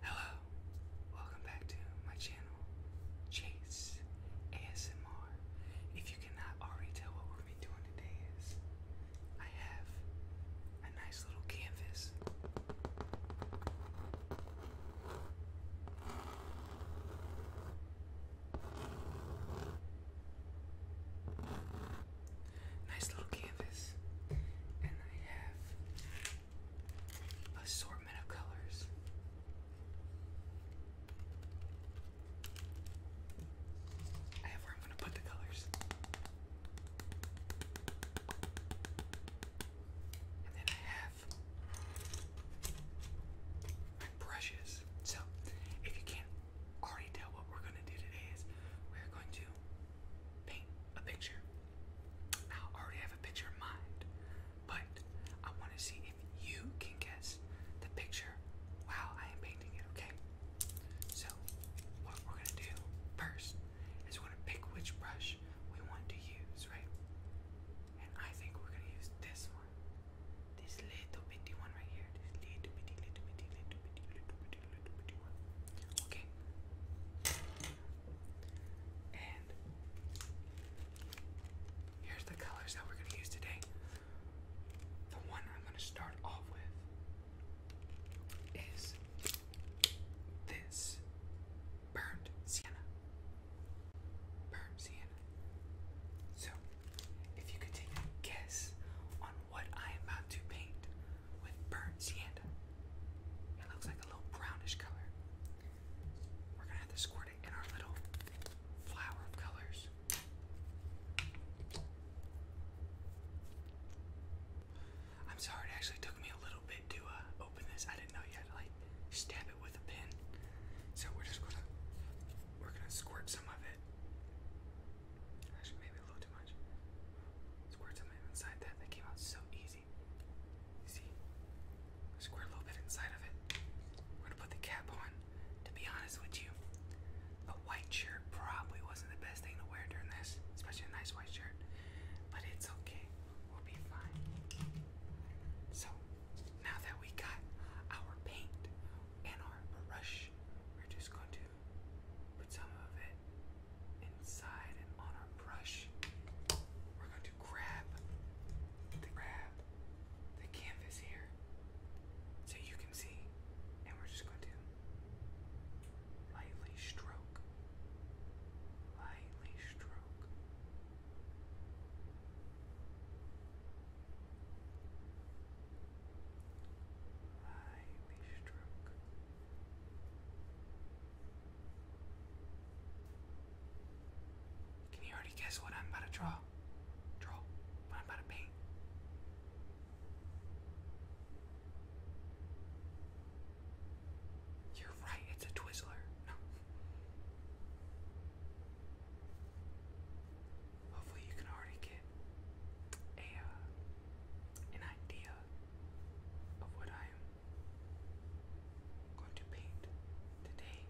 Hello, welcome back to my channel, Chase ASMR. If you cannot already tell what we're going be doing today is, I have a nice little canvas. Nice little canvas, and I have assortment of colors. I have where I'm going to put the colors. And then I have my brushes. So, if you can't already tell, what we're going to do today is we're going to paint a picture I already have a picture in mind, but I want to see if you can guess the picture while I am painting it, okay? So, what we're going to do first is we're going to pick which brush we want to use, right? And I think we're going to use this one. This little bitty one right here. This little bitty, little bitty, little bitty, little bitty, little bitty one. Okay. And here's the colors that we're going to use today. The one I'm going to start off with is this burnt sienna. Burnt sienna. So, if you could take a guess on what I am about to paint, with burnt sienna. It looks like a little brownish color. We're gonna have to squirt it in our little flower of colors. I'm sorry, it actually took me a little bit to uh, open this. I didn't know you had to like stab it with a pin. So we're just gonna we're gonna squirt some of it. Actually, maybe a little too much. Squirt some of it inside that. That came out so easy see? Square a little bit inside of it. We're gonna put the cap on. To be honest with you, a white shirt probably wasn't the best thing to wear during this, especially a nice white shirt. But it's okay. We'll be fine. So, now that we got our paint and our brush, we're just going to put some of it inside and on our brush, we're going to grab the grab the canvas here so you can see, and we're just going to lightly stroke, lightly stroke. Lightly stroke. Can you already guess what I'm about to draw? Draw. What I'm about to paint. You're right, it's a Twizzler. Hopefully you can already get a uh, an idea of what I am going to paint today.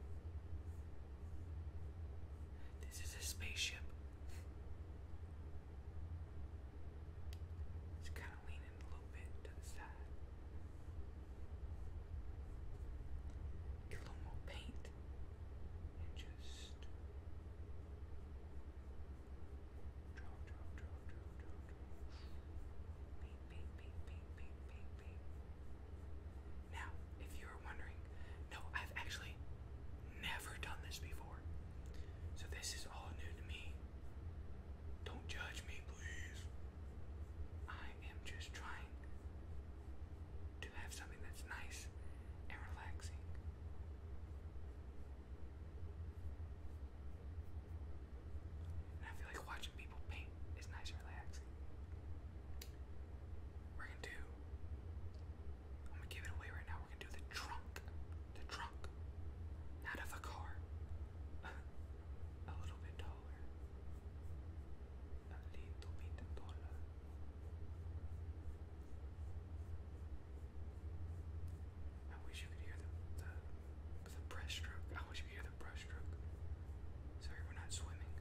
This is a spaceship. It's kind of leaning a little bit to the side. Get a little more paint and just now, if you were wondering, no, I've actually never done this before. So this is all new to me. Don't judge me, please. I am just trying to have something that's nice and relaxing. And I feel like watching people paint is nice and relaxing. We're gonna do. I'm gonna give it away right now. We're gonna do the trunk. The trunk. Not of a car. a little bit taller. A little bit taller. I wish you could hear the, the, the brush I wish you could hear the brush Sorry, we're not swimming.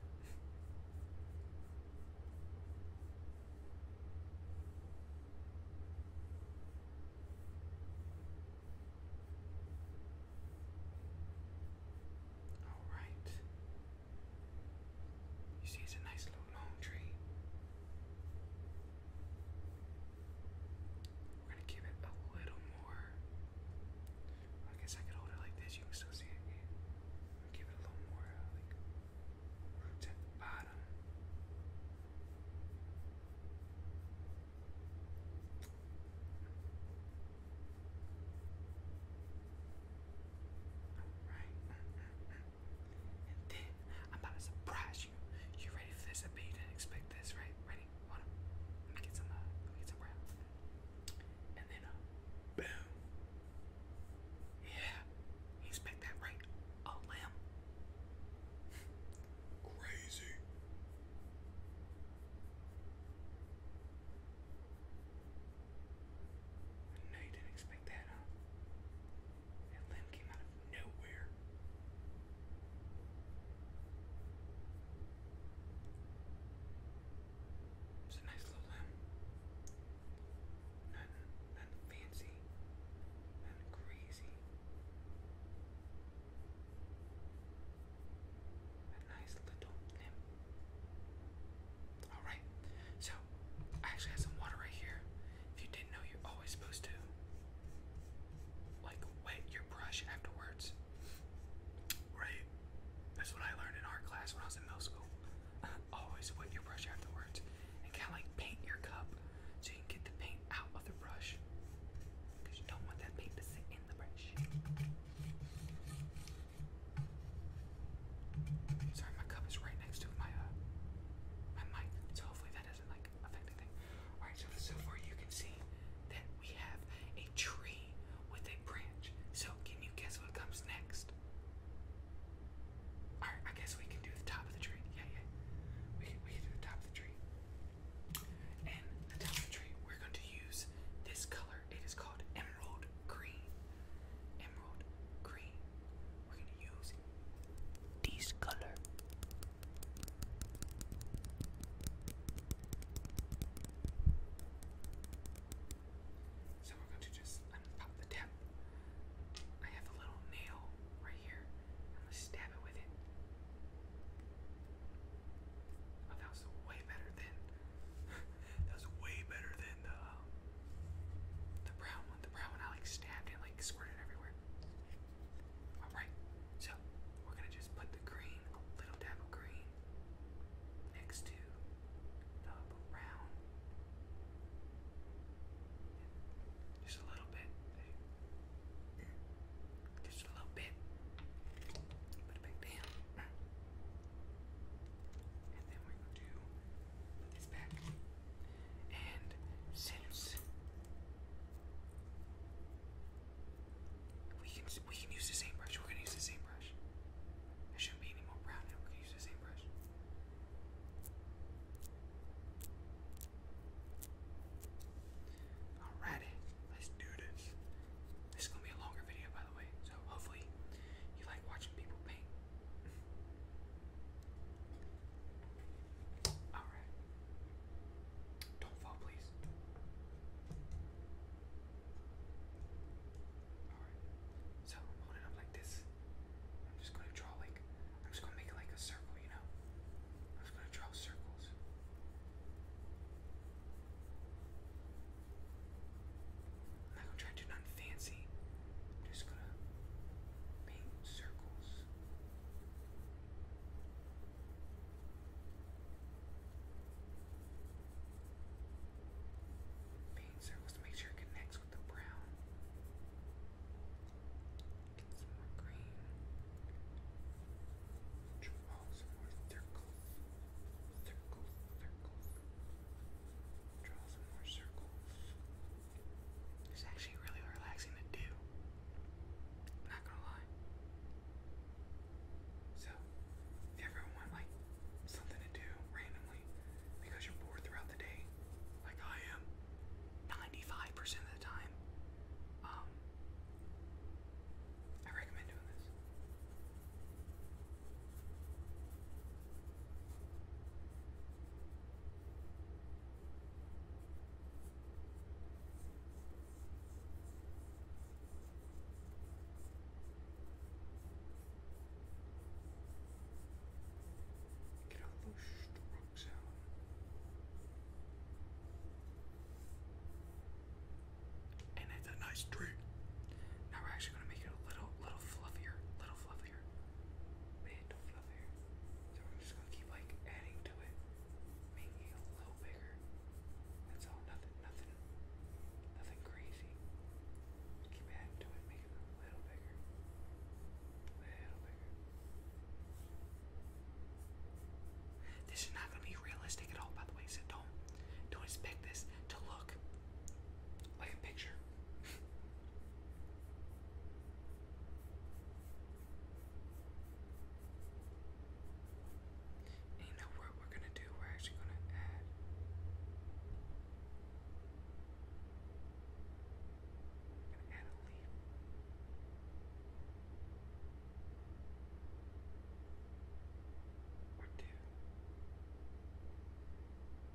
All right. You see, it's a nice little long tree. We're gonna give it a little more. I guess I could hold it like this, you can still see it. Give it a little more, like, roots the bottom. Alright. And then I'm about to surprise you. You ready for this? I bet you didn't expect this, right? Ready? Hold on. Let me get some, uh, let me get some wrap. And then, uh, boom. Yeah. expect that, right? A limb. Crazy. No, you didn't expect that, huh? That limb came out of nowhere. It's a nice little limb. Nothing, nothing fancy. Nothing crazy. A nice little limb. Alright, so I actually have some water right here. If you didn't know, you're always supposed to like wet your brush afterwards. Right? That's what I learned in art class when I was in middle school. always wet your brush afterwards and kind of like paint your cup so you can get the paint out of the brush because you don't want that paint to sit in the brush. Sorry, my cup is right next to my uh, my mic, so hopefully that like affect anything. Alright, so, so far you can see that we have a tree with a branch. So can you guess what comes next? Alright, I guess we can do the top of the tree. Yeah, yeah. We we do the top of the tree. And the top of the tree, we're going to use this color. It is called emerald green. Emerald green. We're going to use this color. So we're going to just unpop the tip. I have a little nail right here. I'm going to stab it with it. Oh, that was way better than. that was way better than the um, the brown one. The brown one I like stabbed and like squirted everywhere. Alright, so we're gonna just put the green, little dab of green, next to the brown. Just a little bit. Just a little bit. Put it back down. And then we're gonna do put this back. And since we can we can use the same brush, we're gonna use the same brush. There shouldn't be any more brown, and we're gonna use the same brush. Alrighty, let's do this. This is gonna be a longer video, by the way, so hopefully you like watching people paint. Alright. Don't fall, please. Alright. So I'm up like this. I'm just gonna draw like I'm just gonna make like a circle, you know? I'm just gonna draw circles. I'm gonna try to do nothing fancy. just gonna paint circles. Paint circles to make sure it connects with the brown. Get some more green. Draw some more circles. Circles, circles. Draw some more circles. It's actually really relaxing to do. not gonna lie. So, if you ever like something to do randomly because you're bored throughout the day, like I am, 95% of the time, um, I recommend doing this. Get all those rocks out. And it's a nice tree. Now we're actually gonna make it a little, little fluffier, little fluffier. Bit to fill So we're just gonna keep like adding to it, making it a little bigger. That's all. Nothing, nothing, nothing crazy. Keep adding to it, make it a little bigger, little bigger. This is not gonna be realistic at all, by the way. So don't, don't expect this to look like a picture. you know what we're gonna do? We're actually gonna add. I'm gonna add a leaf. Or two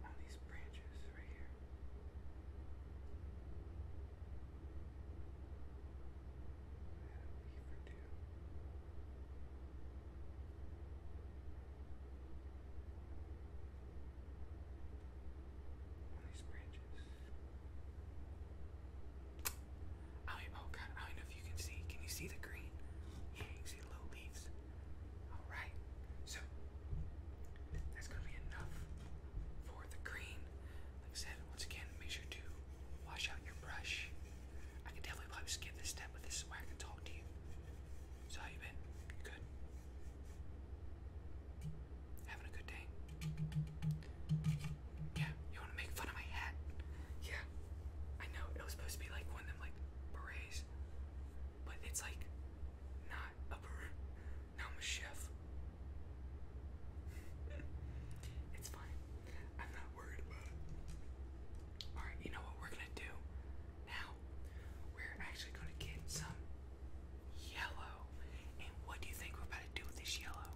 on these branches right here for these branches. oh god, I don't know if you can see. Can you see the green? Yeah, you see the little leaves. Alright, so that's gonna be enough for the green. Like I said, once again, make sure to wash out your brush. I can definitely probably skip this step, but this is where I can talk to you. how you been? You good? Having a good day? Yeah, you wanna make fun of my hat? Yeah. I know, it was supposed to be like one of them like berets. But it's like not a beret. Now I'm a chef. it's fine. I'm not worried about it. Alright, you know what we're gonna do now? We're actually gonna get some yellow. And what do you think we're about to do with this yellow?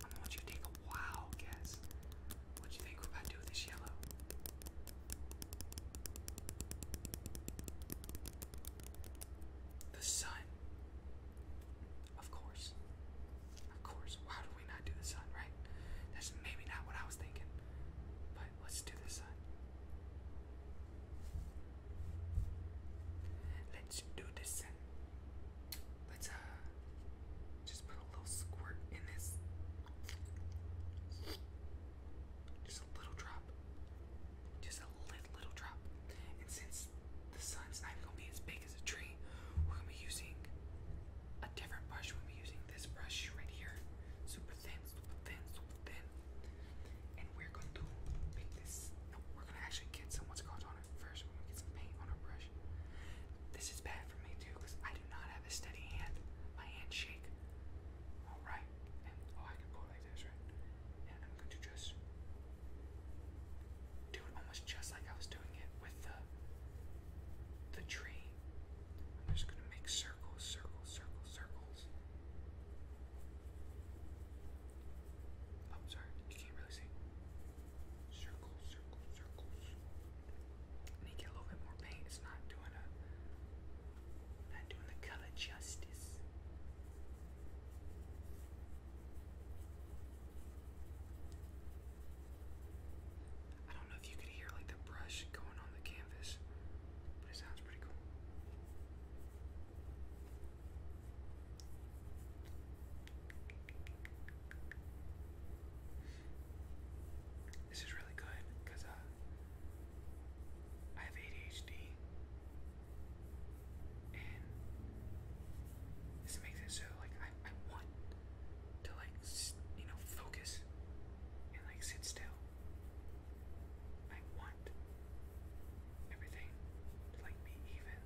I want you to take a wild guess. What do you think we're about to do with this yellow? The sun. Of course. Of course. Why do we not do the sun, right? That's maybe not what I was thinking. But let's do the sun. Let's do the sun. Let's uh just put a little squirt in this. Just a little drop. Just a little, little drop. And since the sun's not gonna be as big as a tree, we're gonna be using a different brush. We're gonna be using this brush right here. Super thin, super thin, super thin. And we're gonna do make this. No, we're gonna actually get some what's called on it first. We're gonna get some paint on our brush. This is bad for me too, because I do not have a steady hand. My hands shake. Alright. oh I can go right? And I'm going to just do it almost just like I was doing it with the the tree. I'm just gonna make circles, circles, circles, circles. Oh, sorry, you can't really see. Circles, circles, circles. need to get a little bit more paint. It's not doing a not doing the color justice. I don't know if you could hear like the brush going on the canvas, but it sounds pretty cool. This is really good because uh, I have ADHD and this makes it so like I, I want to like you know focus and like sit still. I want everything to like be even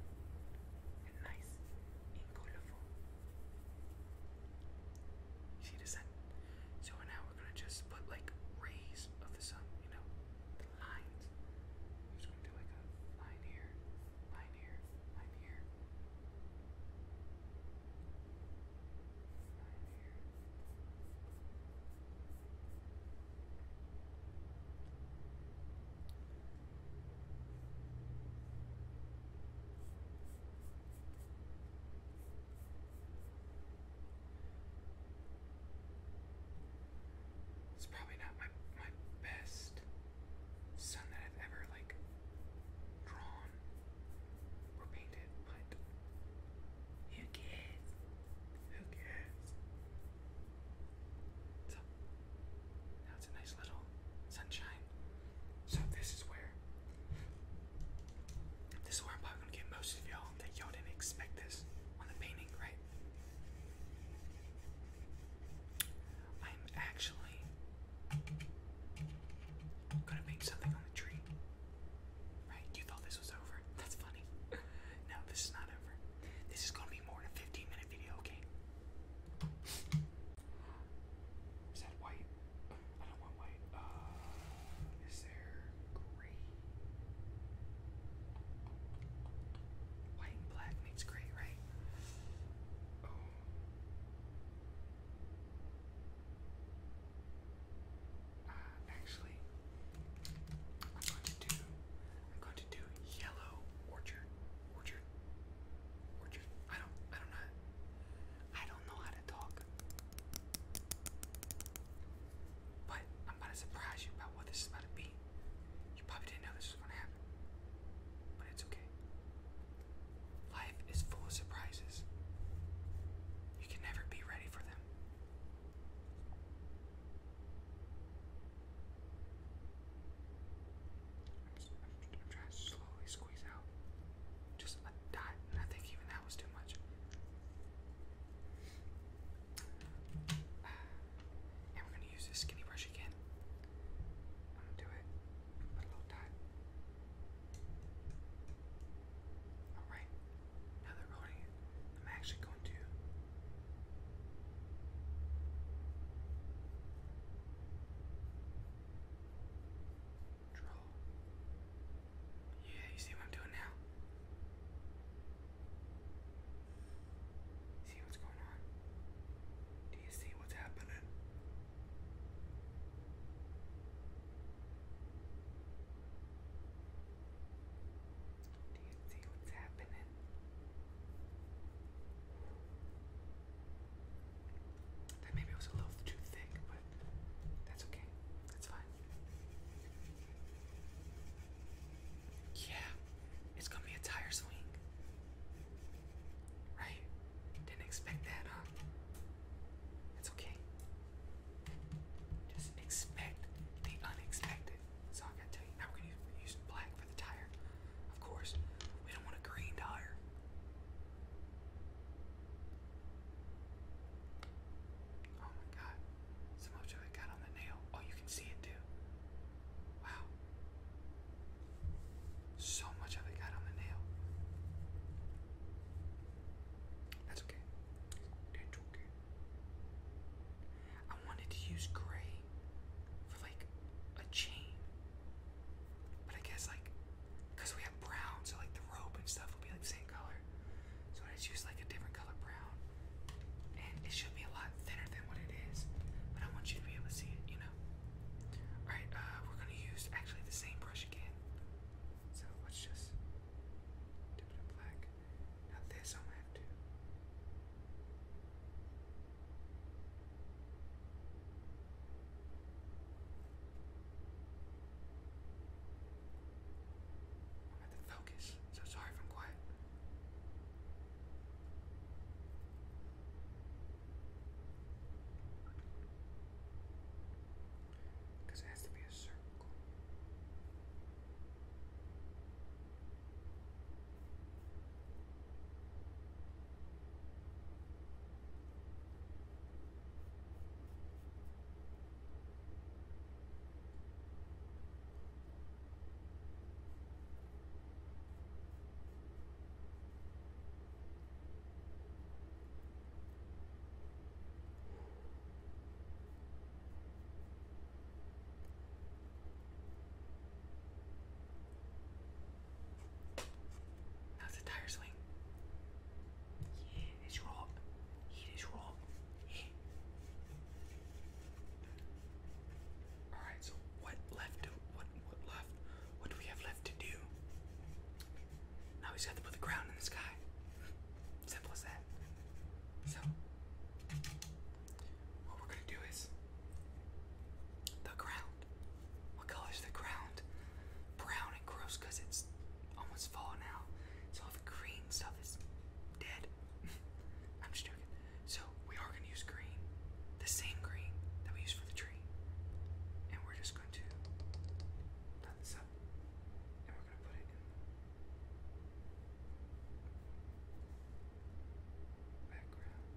and nice and colorful. You see the sun. So when I we're gonna just put like rays of the sun, you know, lines. We're just gonna do like a line here, line here, line here, line here. It's probably not my my best sun that I've ever like drawn or painted, but who cares? Who cares? So now it's a nice little sunshine. So this is where this is where I'm probably gonna get most of y'all that y'all didn't expect this on the painting, right? I'm actually gonna paint something on the tree. Right? You thought this was over. That's funny. no, this is not over. This is gonna be more than 15 minute video, okay? Is that white? I don't want white. Uh is there gray? White and black makes gray, right? Oh. Uh, actually, I'm going to do. I'm going to do yellow orchard, orchard, orchard. I don't. I don't know. I don't know how to talk. But I'm going to surprise you about what this is about to be. You probably didn't know this was gonna happen. But it's okay. Life is full of surprises. You can never be ready for them. I'm trying to slowly squeeze out just a dot, and I think even that was too much. And we gonna use this skinny brush again. I'm gonna do it. a little dot. Alright, now they're rolling it. I'm actually going to draw yeah, you see what I'm doing now? See what's going on? Do you see what's happening? Do you see what's happening? That maybe was a little too thick, that's okay. That's fine. Yeah, it's gonna be a tire swing. Right? Didn't expect that, huh? It's okay. Just expect the unexpected. That's I gotta tell you. Now we're use black for the tire. Of course, we don't want a green tire. Oh my god. So much of it got on the nail. Oh, you can see it too. Wow. So much of it got on the nail. That's okay. That's okay. I wanted to use gray for like a chain. But I guess like because we have brown, so like the rope and stuff will be like the same so I just use like a different color brown. And it should be a lot thinner than what it is. But I want you to be able to see it, you know? Alright, uh, we're gonna use actually the same brush again. So let's just dip it in black. Now this I'm gonna have to. I have to focus. So sorry if I'm quiet. Because it has to be a circle. That's a tire swing. He is wrong. He is wrong. All right. So what left? what what left? What do we have left to do? Now he's got to put the ground in the sky. Simple as that. So what we're gonna do is the ground. What color is the ground? Brown and gross because it's almost fall now. So if green stuff is dead. I'm just joking. So we are gonna use green, the same green that we use for the tree, and we're just going to plant this up, and we're gonna put it in the background.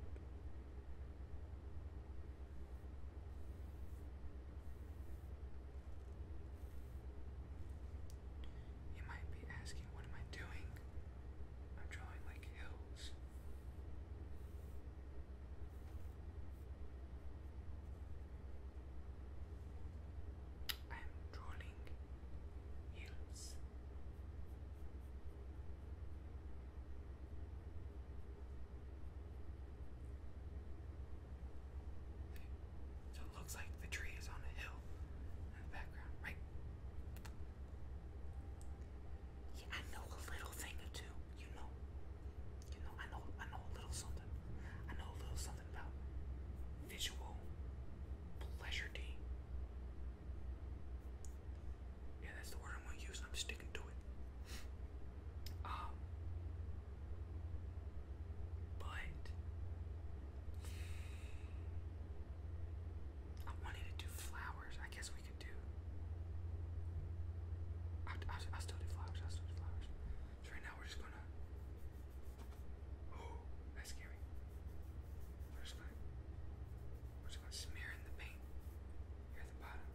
You might be asking, what am I doing? I'm drawing like hills. I'm drawing hills. So it looks like the tree on a hill in the background, right? Yeah, I know a little thing or two, you know. You know, I know I know a little something. I know a little something about visual pleasure D. Yeah, that's the word I'm gonna use. I'm sticking to it. Um, but I wanted to do flowers. I guess we could do. I, I, I still do flowers. I still do flowers. So right now we're just gonna. Oh, that's scary. We're just gonna. We're just gonna smear in the paint here at the bottom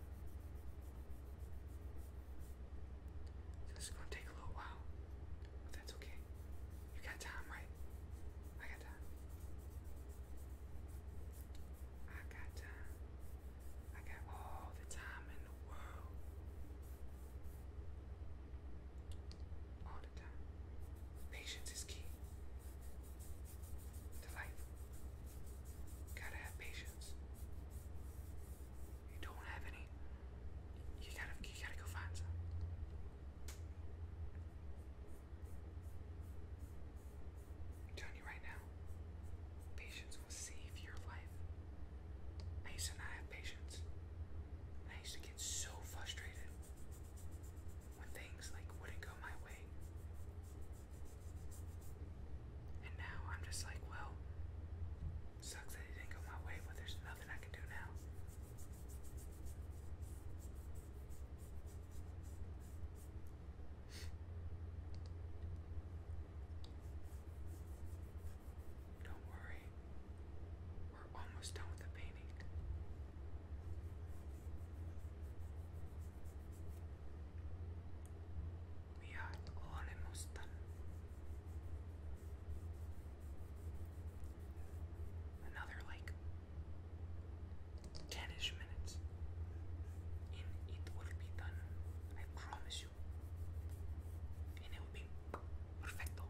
this is gonna take a little while, but that's okay. You got time, right? I got time. I got time. I got all the time in the world. All the time. Patience is key to life. Gotta have patience you don't have any, you gotta you gotta go find some. I'm telling you right now, patience will save your life. I used to not have patience. I used to get so frustrated when things like wouldn't go my way. And now I'm just like, well, Sucks that it didn't go my way, but there's nothing I can do now. Don't worry. We're almost done with the painting. We are almost done. Another like 10 minutes, and it will be done. I promise you. And it will perfecto.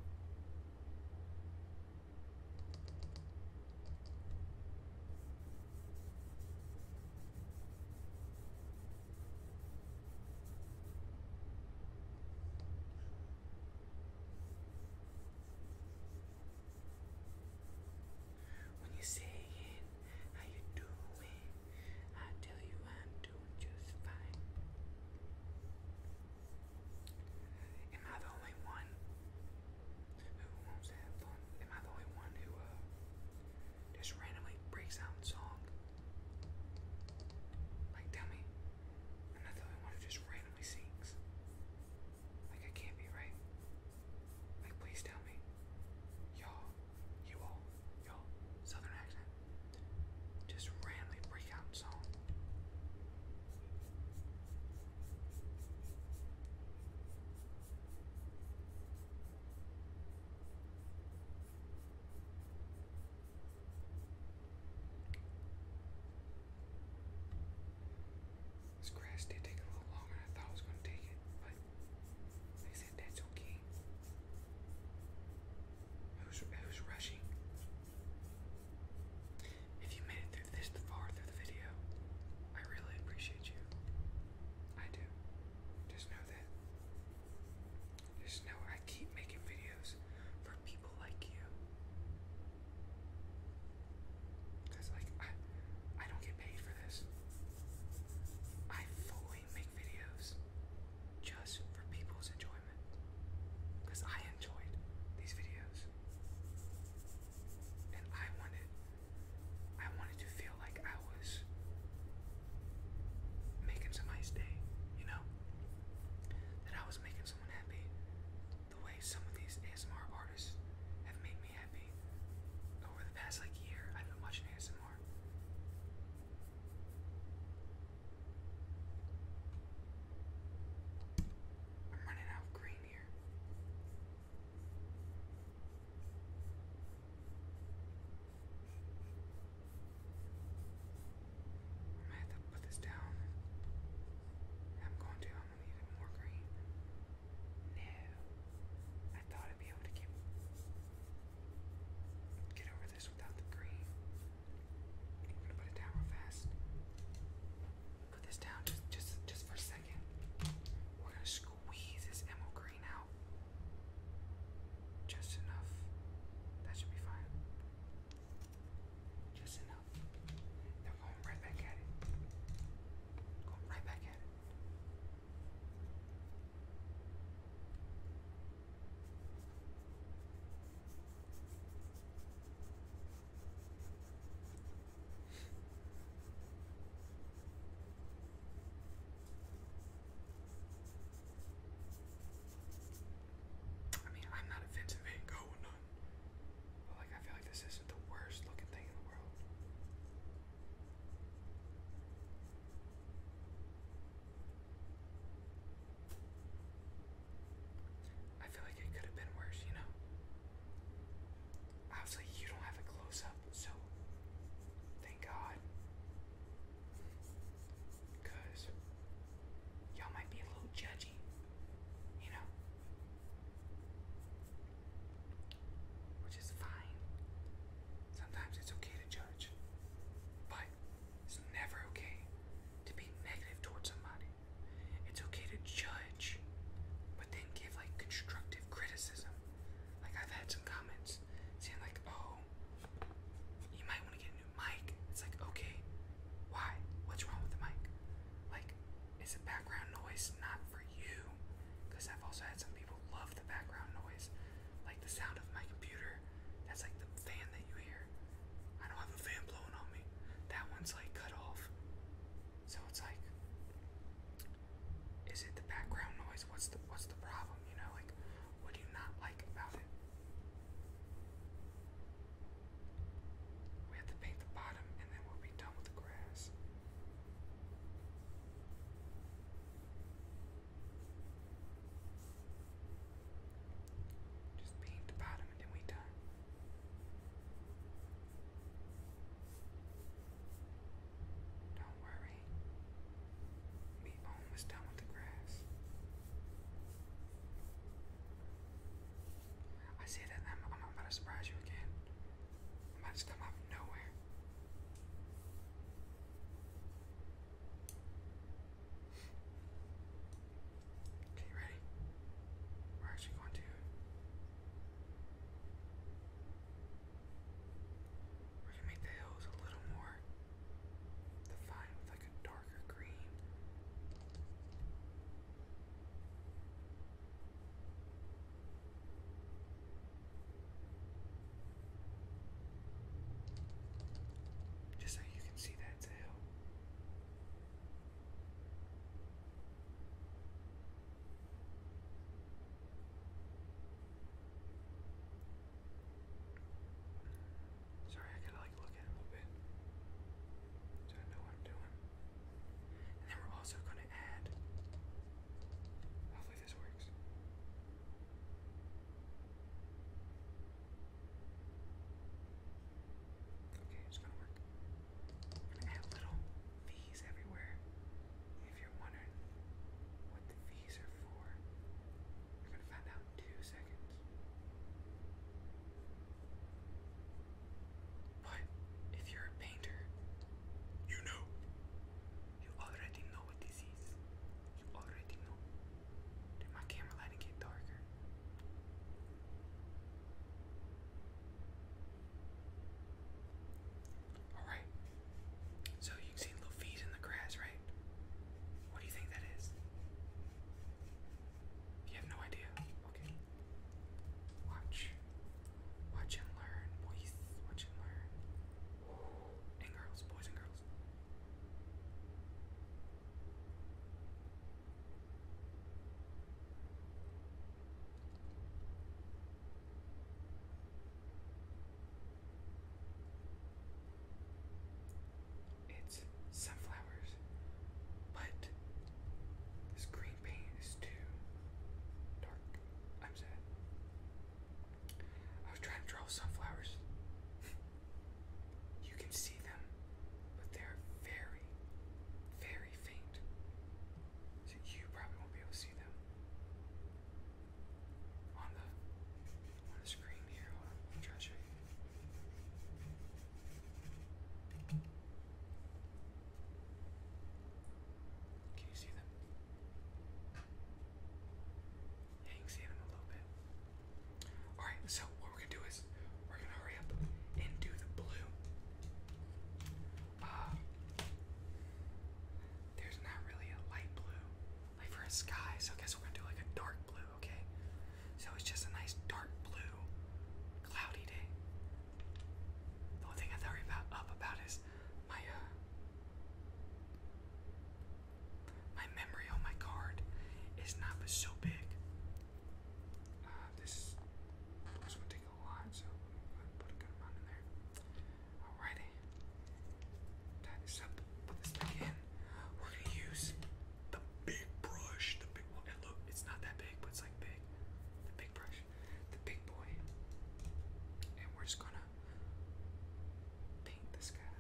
When you say it, how you doing? I tell you I'm doing just fine. Am I the only one who wants to have fun? Am I the only one who uh just randomly breaks out in song. Like, tell me, i one who just randomly sings. Like, I can't be right. Like, please tell me, y'all, you all, y'all, southern accent, just randomly break out in this crash did take a little longer than I thought I was going to take but they said that's okay. Who's, who's rushing? If you made it this far through the video, I really appreciate you. I do. Just know that just know I keep making videos for people like you. Cause like I I don't get paid for this. I fully make videos just for people's enjoyment. Because I enjoyed these videos. And I wanted I wanted to feel like I was making somebody's day, you know? That I was making someone happy. The way some of these ASMR artists have made me happy over the past like year, I've been watching ASMR. I'm running out of green here. I might have to put this down. I'm going to. I'm gonna need more green. No, I thought I'd be able to get get over this without the green. I'm gonna put it down real fast. Put this down just just just for a second. We're gonna squeeze this emerald green out. Just enough. That should be fine. Just enough. Then going right back at it. Going right back at it. I mean, I'm not a Vincent Van none, but like, I feel like this isn't the worst looking thing in the world. I feel like it could have been worse, you know? Obviously, you don't have a close up, so thank God. Cause y'all might be a little judgy, you know? Which is fine. Sometimes it's okay to judge. But it's never okay to be negative towards somebody. It's okay to judge, but then give like constructive criticism. Like I've had some comments saying like, oh, you might want to get a new mic. It's like, okay, why? What's wrong with the mic? Like, is the background noise not for you? Because I've also had some people love the background noise, like the sound of my computer. That's like the fan that you hear. I don't have a fan blowing on me. That one's like cut off. So it's like, is it the background noise? What's the what's the problem? You know, like what do you not like about it? We have to paint the bottom and then we'll be done with the grass. Just paint the bottom and then we done. Don't worry, we almost done with the grass. I say that I'm, about to surprise you again. I'm about to come out of nowhere. Okay, ready? We're actually going to we're gonna make the hills a little more defined like a darker green. Just so you can see that tail. Sorry, I gotta like look at it a little bit. So I know what I'm doing. And then we're also gonna add. Hopefully this works. Okay, it's gonna work. add little V's everywhere. If you're wondering what the fees are for, you're going to find out in two seconds. But if you're a painter, you know. You already know what this is. You already know. Did my camera lighting get darker? Alright. So you can see Luffy's in the grass, right? What do you think that is? You have no idea. Okay. Watch. Watch and learn, boys. Watch and learn. And girls, boys and girls. It's sunflowers, but this green paint is too dark. I'm sad. I was trying to draw sunflowers. you can see them, but they're very, very faint. So you probably won't be able to see them on the on the screen here. on, I'm trying Can you see them? Yeah, you can see them a little bit. Alright, so what we're gonna do is we're gonna hurry up and do the blue. Uh, there's not really a light blue for a sky. So I guess we're gonna do like a dark blue, okay? So it's just a nice dark blue, cloudy day. The only thing I worry about up about is my uh, my memory on my card is not so big. Uh, this this one take a lot, so put a good amount in there. Alrighty. Tie this up, put this back in. We're gonna use the big brush. The big one. it's not that big, but it's like big. The big brush. The big boy. And we're just gonna paint this guy.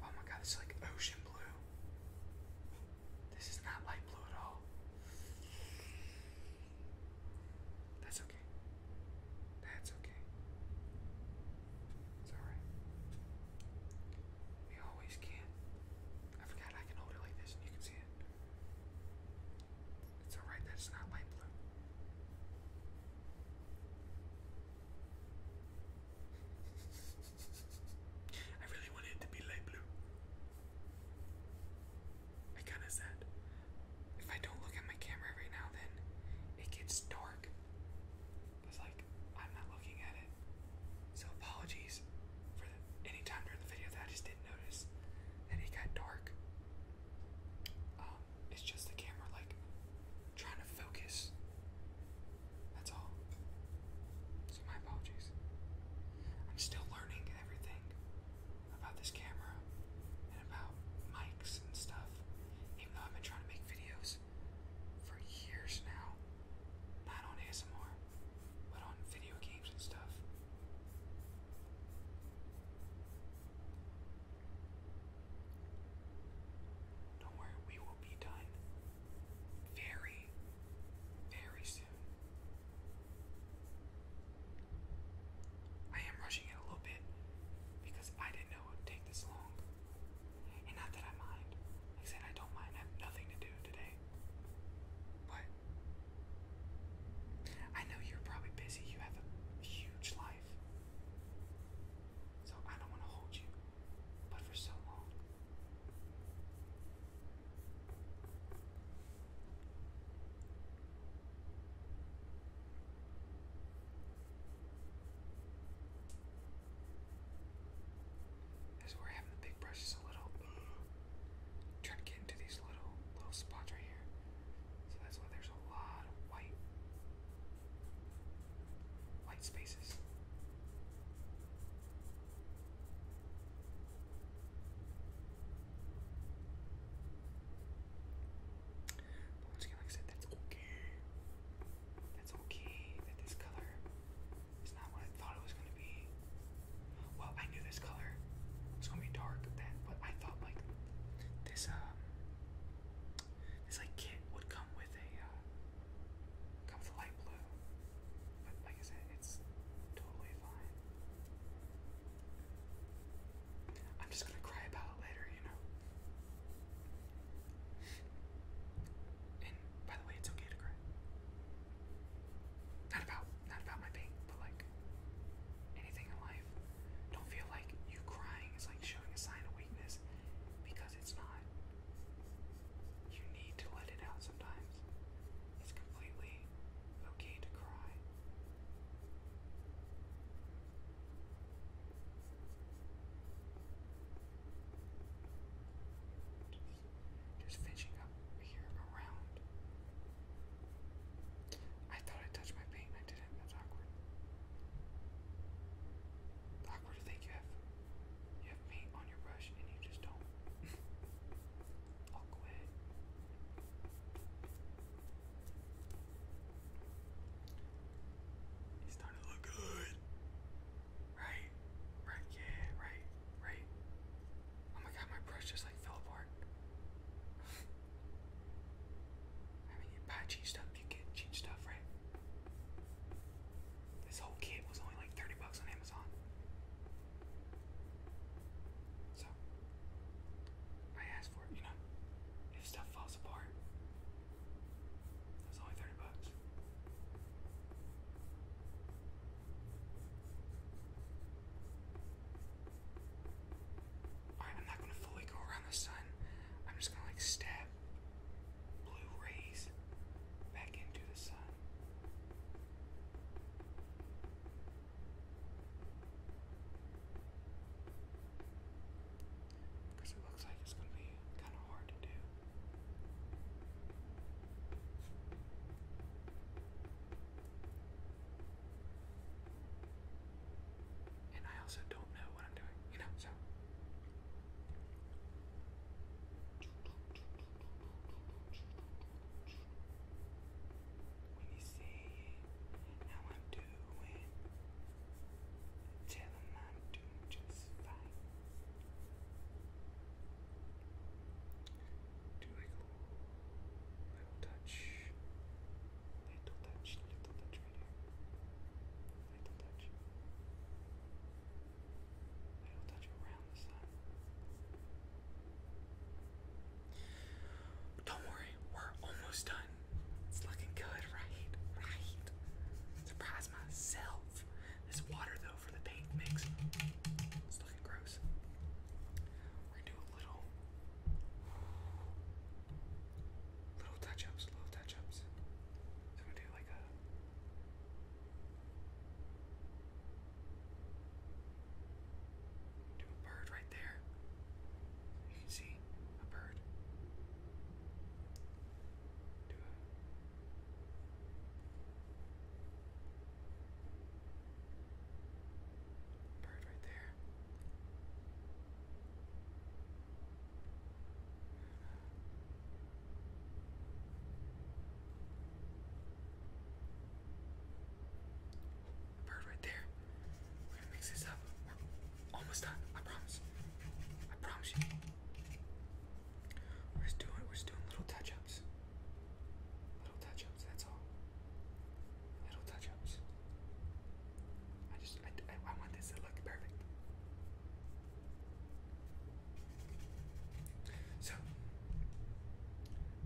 Oh my god, it's like ocean blue. This is not light blue at all. That's okay. That's okay. It's alright. We always can. I forgot I can hold it like this and you can see it. It's alright that not light blue. I really wanted it to be light blue. I kinda sad if I don't look at my camera right now, then it gets dark. It's like I'm not looking at it. So apologies for any time during the video that I just didn't notice that it got dark. Um, it's just the camera like trying to focus. That's all. So my apologies. I'm still learning everything about this camera and about mics and stuff. Even though I've been trying to make videos for years now, not on ASMR, but on video games and stuff. Don't worry, we will be done very, very soon. I am rushing it a little bit because I didn't know it would take this long. And not that I mind. Like I said, I don't mind. I have nothing to do today. But I know you're probably busy. You have a huge life. So I don't want to hold you. But for so long. As we're having the big brushes a little, trying to get into these little little spots right here. So that's why there's a lot of white white spaces. But once again, like I said, that's okay. That's okay that this color is not what I thought it was gonna be. Well, I knew this color was gonna be dark then, but I thought like this um this like kit would come with a uh come with a light blue. But like I said, it's totally fine. I'm just gonna cry about it later, you know. And by the way, it's okay to cry. Not about not about my pain, but like anything in life. Don't feel like you crying is like showing a sign of weakness because it's not. You need to let it out sometimes. It's completely okay to cry. Just, just up here around. I thought I touched my paint and I didn't. That's awkward. awkward to think you have you have paint on your brush and you just don't. I'll He's starting to look good. Right? Right, yeah, right, right. Oh my god, my brush just like fell apart. I mean, you buy cheap stuff, you get cheap stuff, right? This whole kit was only like 30 bucks on Amazon. So, I asked for it, you know, if stuff falls apart, it only 30 bucks. Alright, I'm not gonna fully go around the sun. I'm just gonna like stab blue rays back into the sun. Because it looks like it's going to be kind of hard to do. And I also don't know what I'm doing, you know, so when you say how I'm doing, tell I'm doing just fine. Do a little, touch, little touch, little touch little touch, little touch Little touch around the sun. Don't worry, we're almost done. It's looking good, right? Right. Surprise myself. This water though for the paint mix. It's looking gross. We're gonna do a little little touch-ups, little touch-ups. So I'm gonna do like a to a bird right there. You can see a bird. To a bird right there bird right there. We're gonna mix this up. almost done. I promise. I promise you. We're just doing we're just doing little touch-ups. Little touch-ups, that's all. Little touch-ups. I just I, I, want this to look perfect. So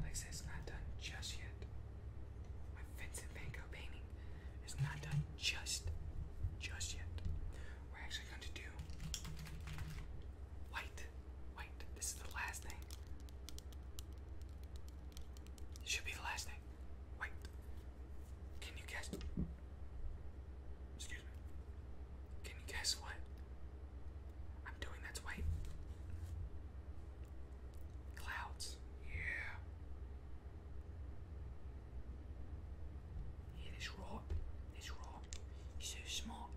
like I said, not done just yet. My Vincent Van Gogh painting is not done just, just yet. We're actually going to do white, white. This is the last thing. It should be the last thing. White. Can you guess? Excuse me. Can you guess what I'm doing that's white? Clouds. Yeah. Yeah, rock. This rock. so smart.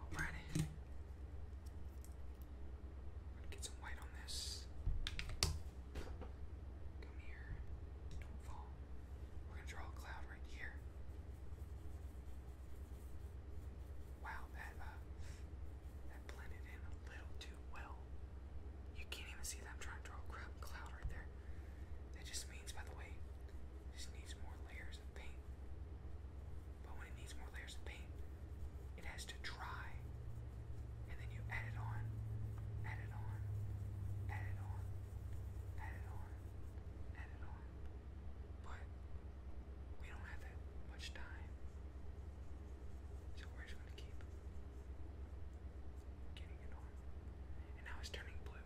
I'm going get some white on this. Come here. Don't fall. We're gonna draw a cloud right here. Wow, that uh, that blended in a little too well. You can't even see that trying to draw a cloud right there. That just means, by the way, it just needs more layers of paint. But when it needs more layers of paint, it has to dry, and then you add it on, add it on, add it on, add it on, add it on. But we don't have that much time. So we're just gonna keep getting it on. And now it's turning blue.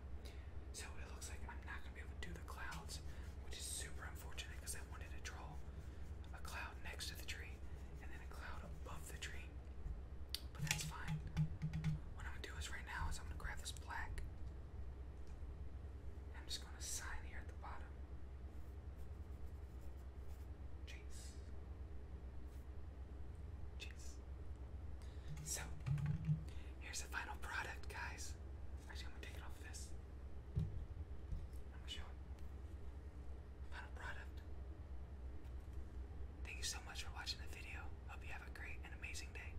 So it looks like I'm not gonna be able to do the clouds, which is super unfortunate because I wanted to draw a cloud next to the tree and then a cloud above the tree. But that's fine. What I'm gonna do is right now is I'm gonna grab this black I'm just going to sign here at the bottom. Chase. Chase. So, here's the final product, guys. Actually, I'm going to take it off of this. I'm going to show it. Final product. Thank you so much for watching the video. Hope you have a great and amazing day.